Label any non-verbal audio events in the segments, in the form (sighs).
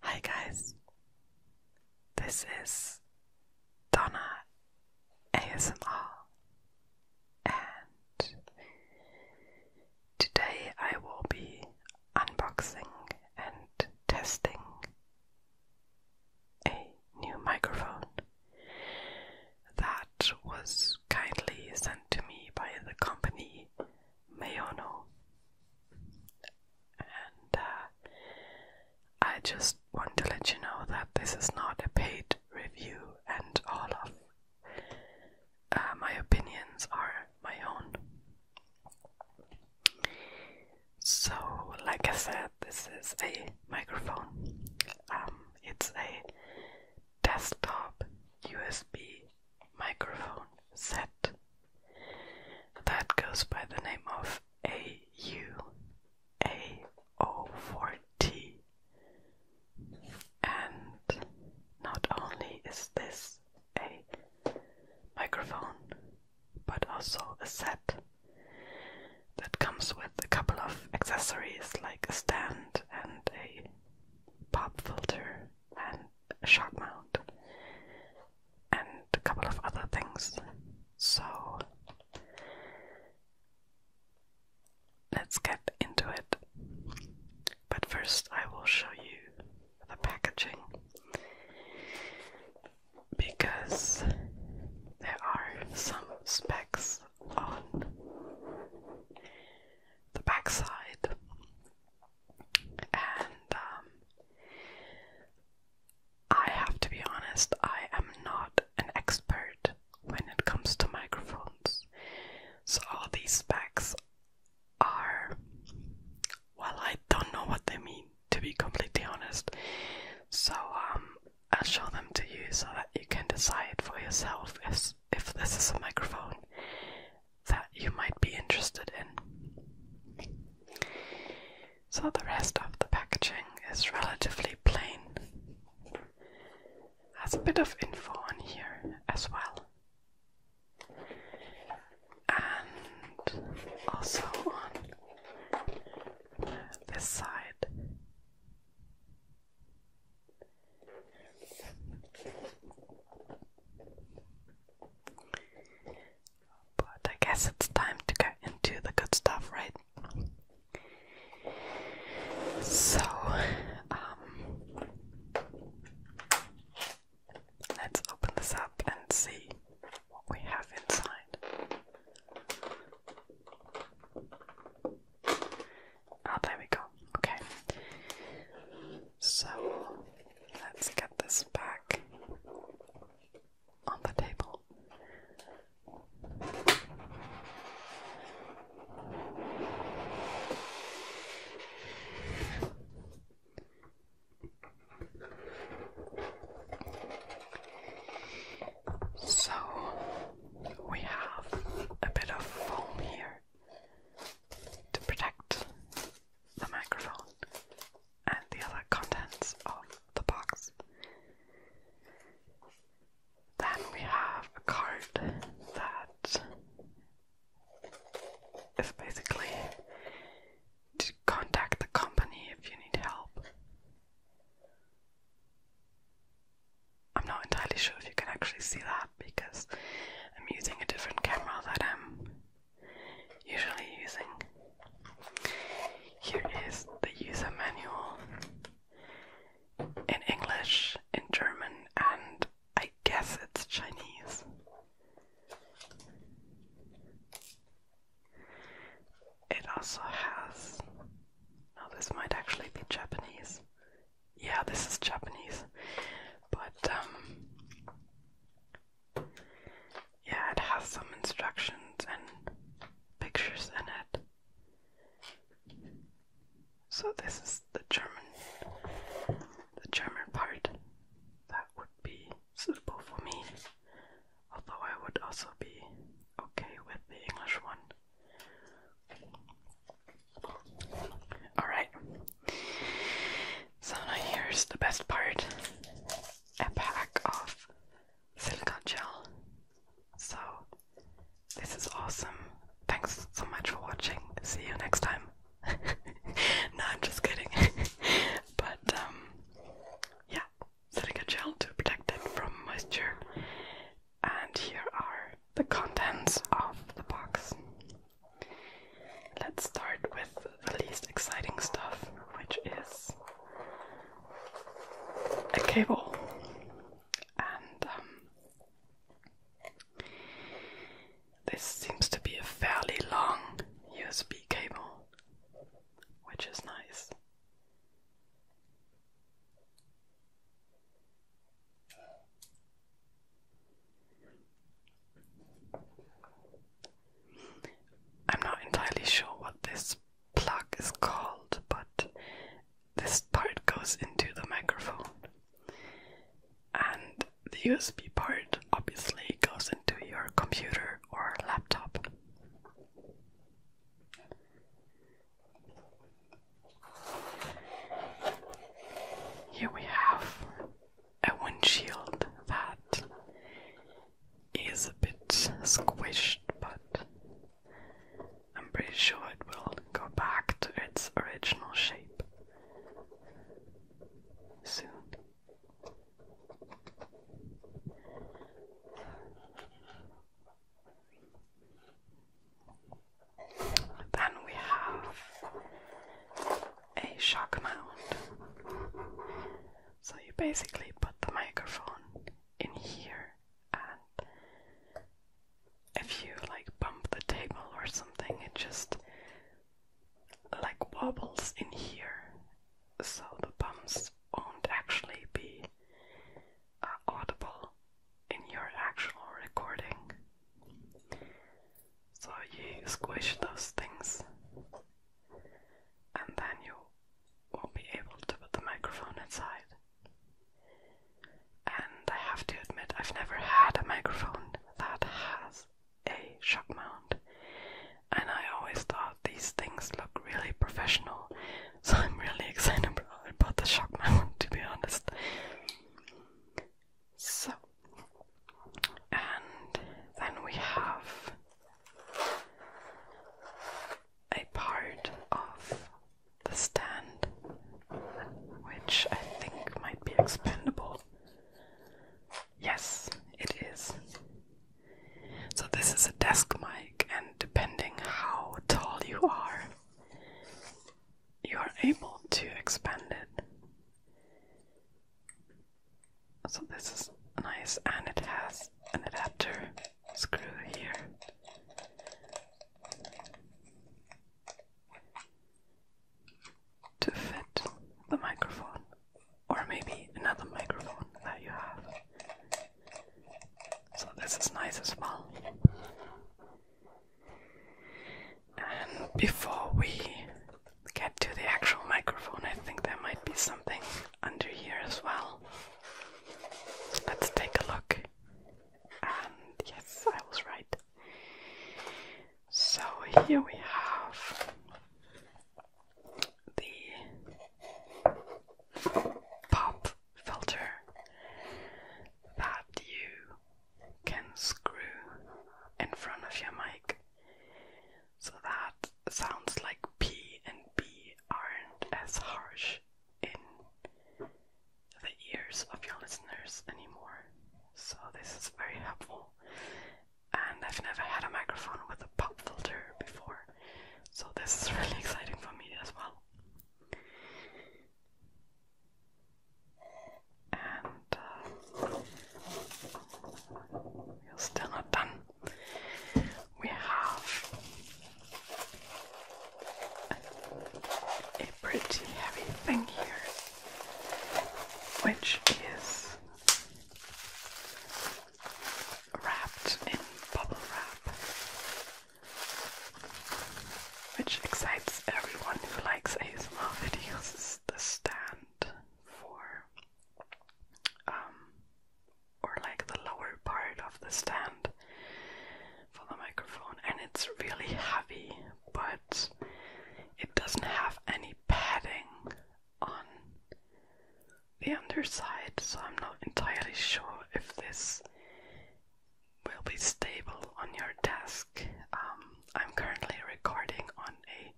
Hi guys, this is Donna ASMR, and today I will be unboxing and testing a new microphone that was kindly sent to me by the company Mayono. And uh, I just want to let you know that this is not a paid review, and all of uh, my opinions are my own. So, like I said, this is a microphone. Um, it's a desktop USB microphone set that goes by the name of aua 4 And not only is this a microphone, but also a set that comes with a couple of accessories like a stand and a pop filter and a mount and a couple of other things. So let's get into it. But first, I will show you the packaging because there are some specs on the backside and um, I have to be honest, I am not an expert when it comes to microphones, so all these specs are well, I don't know what they mean to be completely honest, so um, I'll show them to you so that you can decide for yourself if if this is a microphone that you might be interested in. So, the rest of the packaging is relatively plain. Has a bit of info on here as well. And also on this side, but I guess it's time to get into the good stuff, right? So, um, let's open this up and see what we have inside. oh, there we go. Okay. So let's get this back on the table. So we have a bit of foam here to protect the microphone and the other contents of the box. Then we have a card that is basically to contact the company if you need help. I'm not entirely sure if you can actually see that because I'm using a different camera that I'm usually using. Here is the user manual in English, in German, and I guess it's Chinese. It also has. Now, this might actually be Japanese yeah, this is Japanese, but um, yeah, it has some instructions and pictures in it. So this is the German, the German part that would be suitable for me. Although I would also be okay with the English one. Alright. So here's the best part. A pack of silicone gel. So this is awesome. Thanks so much for watching. See you next time. (laughs) no, I'm just kidding. (laughs) but um, yeah, silica gel to protect it from moisture and here are the contents of the box. Let's start with the least exciting stuff, which is a cable. And um, this seems to be a fairly long USB cable, which is nice. I'm not entirely sure what this plug is called, but this part goes into the microphone. And the USB part obviously goes into your computer or laptop. Here we have a windshield that is a bit squished, but I'm pretty sure it will go back to its original shape soon. Then we have a shock mount. So you basically put the microphone in here, and if you like bump the table or something, it just like wobbles in here. So the bumps won't actually be are audible in your actual recording. So you squish those things and then you won't be able to put the microphone inside. And I have to admit, I've never had a microphone that has a shock mount, and I always thought these things look really professional, (laughs) so I'm really (laughs) excited about the shock mount to be honest. So, and then we have a part of the stand which I think might be expendable. Yes, it is. So, this is a desk mic, and depending how tall you are, you are able to expand it. So this is nice, and it has an adapter screw here. To fit the microphone, or maybe another microphone that you have. So, this is nice as well. And before we get to the actual microphone, I think there might be something under here as well. Let's take a look. And yes, I was right. So here we have the pop filter that you can screw in front of your mic so that sounds like P and B aren't as harsh in the ears of your listeners anymore. So, this is very helpful. And I've never had a microphone with a pop filter before, so this is (laughs) really exciting for me as well. And uh, we're still not done. We have a pretty heavy thing here, which is wrapped in bubble wrap which excites everyone who likes ASMR videos the stand for um or like the lower part of the stand for the microphone and it's really heavy but it doesn't have any padding on the underside so I'm not entirely sure if this will be stable on your desk. Um, I'm currently recording on a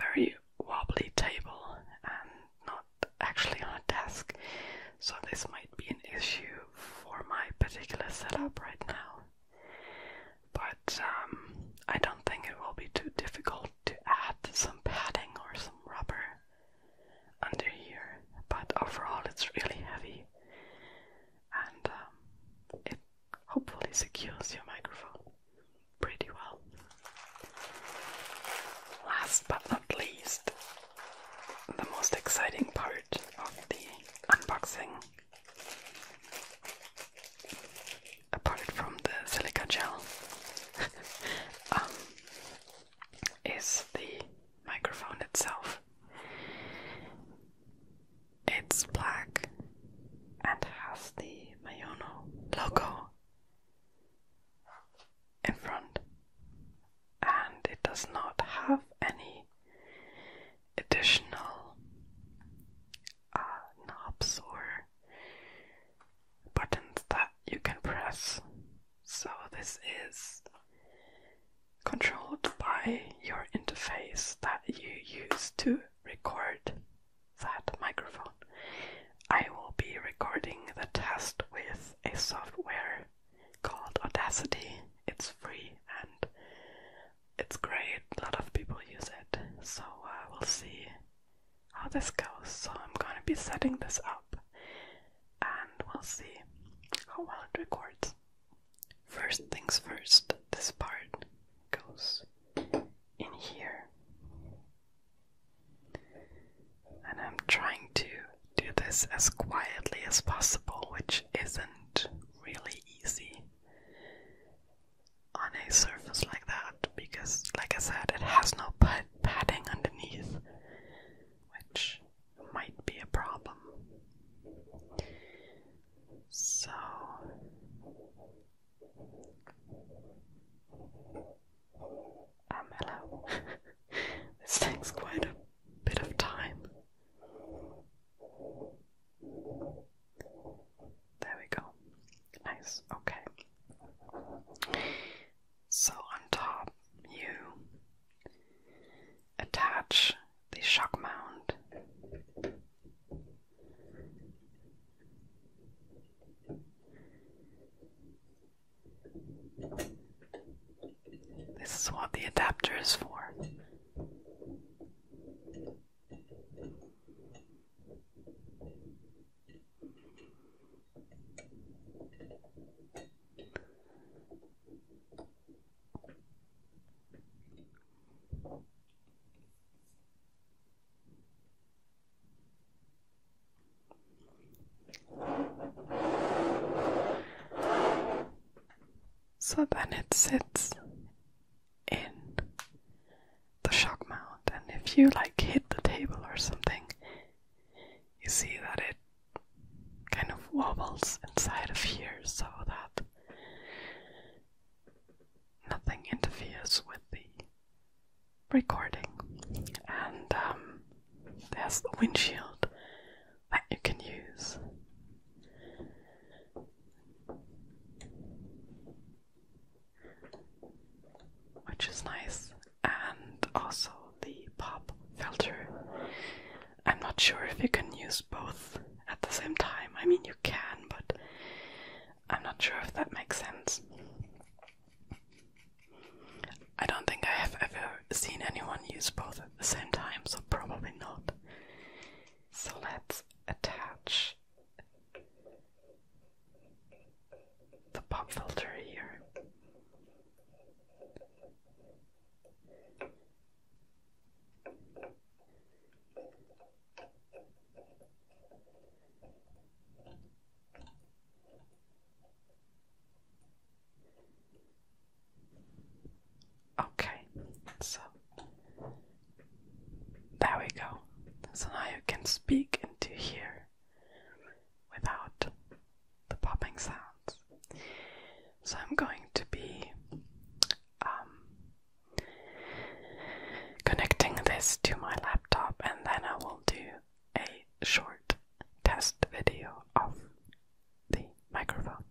very wobbly table and not actually on a desk, so this might be an issue for my particular setup right now. But um, I don't think it will be too difficult to add some padding or some rubber under here, but overall it's really heavy and um, it hopefully secures your microphone pretty well. Last but not least, the most exciting part of the unboxing. Apart from the silica gel, (laughs) um, is the microphone itself. It's black and has the Mayono logo in front, and it does not have any additional uh, knobs or buttons that you can press so this is controlled by your interface that you use to record that microphone. I will be recording the test with a software called Audacity. It's free and it's great. A lot of people use it. So uh, we'll see how this goes. So I'm gonna be setting this up and we'll see how well it records. First things first, this part goes in here. And I'm trying to do this as quietly as possible, which isn't really easy on a surface like that because, like I said, it has no padding underneath, which might be a problem. So um hello. (laughs) this takes quite a bit of time. There we go. Nice. Okay. So on top you Attach the shock mount. This is what the adapter is for. So then it sits in the shock mount, and if you like hit the table or something, you see that it kind of wobbles inside of here so that nothing interferes with the recording. And um, there's the windshield that you can use. Which is nice and also the pop filter. I'm not sure if you can use both at the same time. I mean, you can, but I'm not sure if that makes sense. I don't think I have ever seen anyone use both at the same time, so probably not. So let's attach the pop filter here. Okay, so there we go. So now you can speak into here without the popping sounds. So I'm going to be um, connecting this to my laptop and then I will do a short test video of the microphone.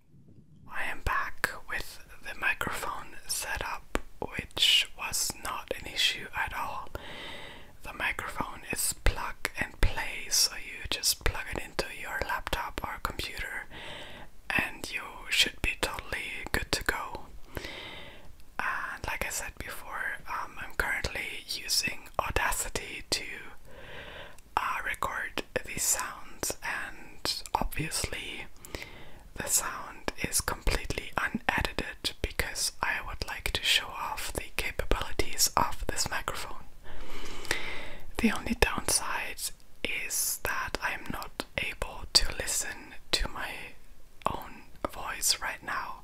I am back with the microphone set up, which was not an issue at all. The microphone is plug and play, so you just plug it into your laptop or computer and you should be totally good to go. And uh, like I said before, um, I'm currently using Audacity to uh, record these sounds, and obviously, the sound is completely unedited because I would like to show off the capabilities of this microphone. The only downside is that I'm not able to listen to my own voice right now.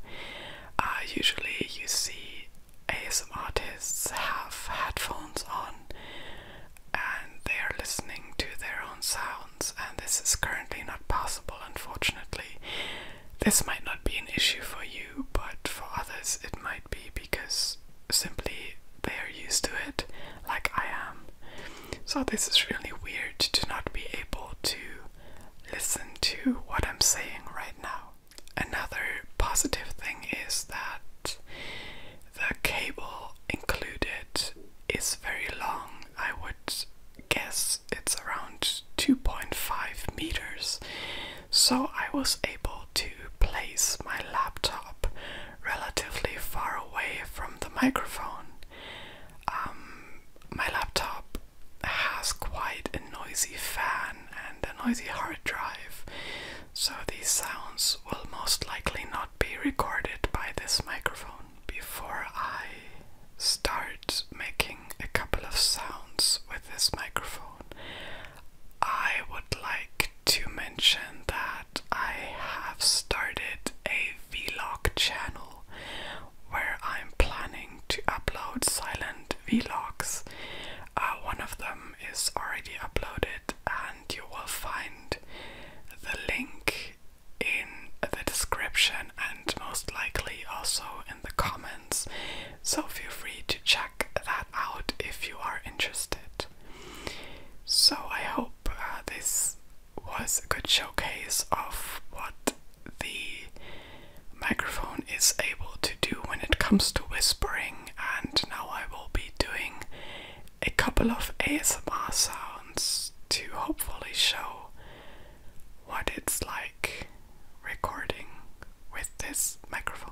Uh, usually, you see ASM artists have headphones on and they are listening to their own sounds, and this is currently not possible, unfortunately. This might not be an issue for you, but for others it might be because simply they are used to it, like I am. So, this is really weird to not be able to listen to what I'm saying right now. Another positive thing is that the cable included is very long. I would guess it's around 2.5 meters. So I was able to place my laptop relatively far away from the microphone. Um, my laptop has quite a noisy fan and a noisy hard drive, so these sounds will most likely not be recorded by this microphone before I start making a couple of sounds with this microphone, I would like to mention that I have started a vlog channel where I'm planning to upload silent vlogs. Uh, one of them is already uploaded, and you will find the link in the description and most likely also the comments. So feel free to check that out if you are interested. So I hope uh, this was a good showcase of what the microphone is able to do when it comes to whispering and now I will be doing a couple of ASMR sounds to hopefully show what it's like recording with this microphone.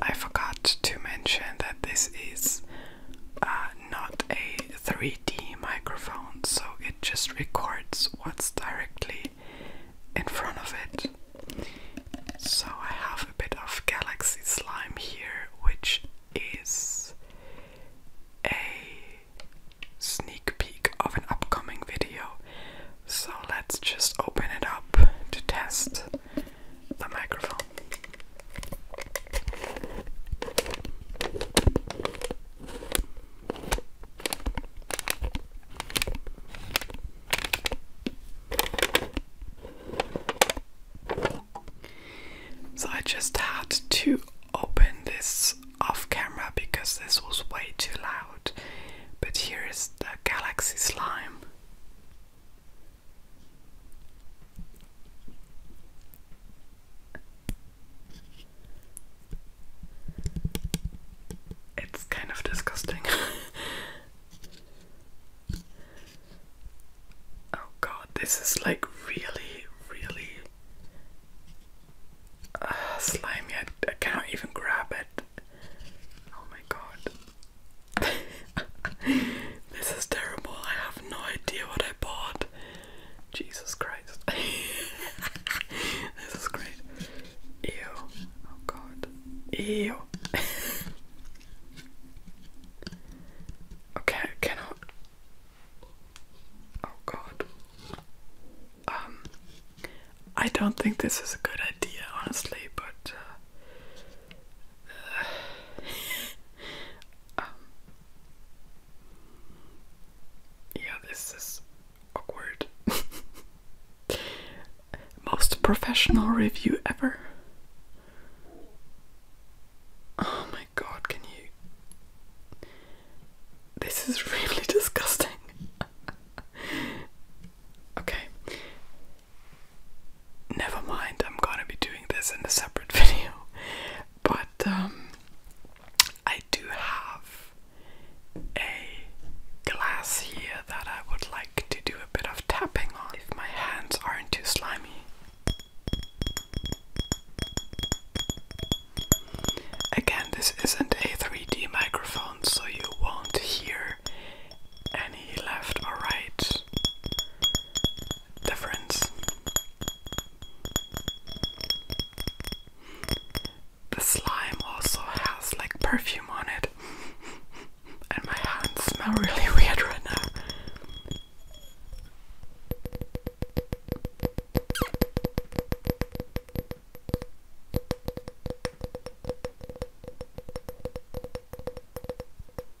I forgot to mention that this is uh, not a 3D microphone, so it just records what's directly in front of it. So I have a bit of galaxy slime here, which is a sneak peek of an upcoming video. So let's just open it up to test the microphone. So I just had to open this off camera because this was way too loud. But here is the galaxy slime. It's kind of disgusting. (laughs) oh god, this is like really, really uh, slimy. I, I cannot even grab it. Oh my god. (laughs) this is terrible. I have no idea what I bought. Jesus Christ. (laughs) this is great. Ew. Oh god. Ew. okay, I cannot. Oh god. Um, I don't think this is a good idea, honestly, but. Uh, (sighs) um, yeah, this is awkward. (laughs) Most professional review ever. Oh my god, can you? This is (laughs) really disgusting. (laughs) okay. Never mind, I'm gonna be doing this in a separate video. But, um, I do have a glass here that I would like to do a bit of tapping on if my hands aren't too slimy. Again, this isn't a 3D microphone, so you won't hear any left or right difference. The slime also has like perfume on it, (laughs) and my hands smell really (laughs) weird right now.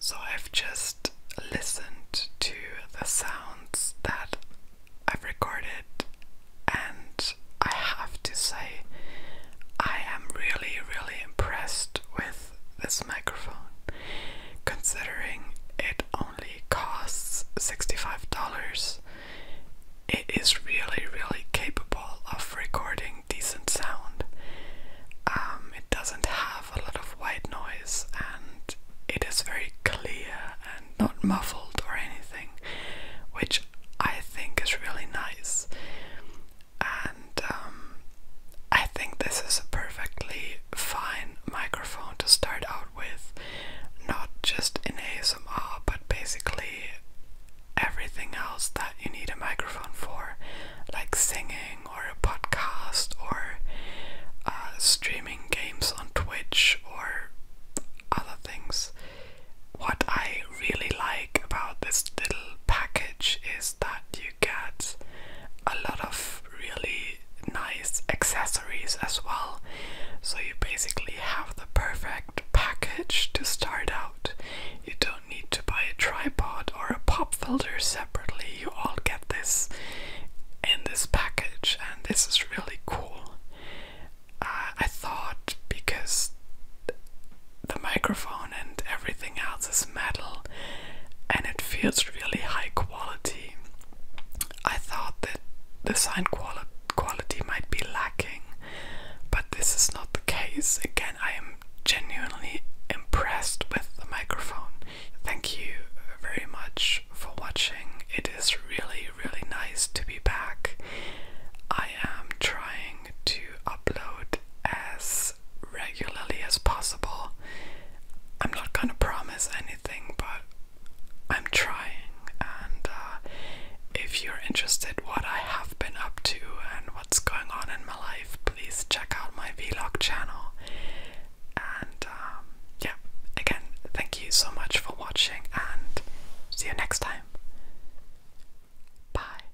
So I've just listened to the sounds that I've recorded, and I have to say, I am really, really impressed with this microphone, considering it costs $65, it is really, really capable of recording decent sound. Um, it doesn't have a lot of white noise and it is very clear and not muffled or anything, which I think is really nice. And um, I think this is a perfectly fine microphone to start out with, not just in ASMR, but basically everything else that you need a microphone for, like singing or a podcast or uh, streaming games on Twitch or other things. What I really like about this little package is that you get a lot of really nice accessories as well. So you basically have the perfect package to start out. You don't need to buy a tripod or a pop filter separately. You all get this in this package, and this is really cool. Uh, I thought because the microphone and everything else is metal, and it feels really high quality. I thought that the sound quality might be lacking, but this is not the case. Again, I am genuinely impressed with the microphone. Thank you very much for watching. It is really, really nice to be back. I am trying to upload as regularly as possible. I'm not gonna promise anything, but I'm trying. And uh, if you're interested, what I have been up to and what's going on in my life, please check out my vlog channel. And um, yeah, again, thank you so much for watching, and see you next time. Bye.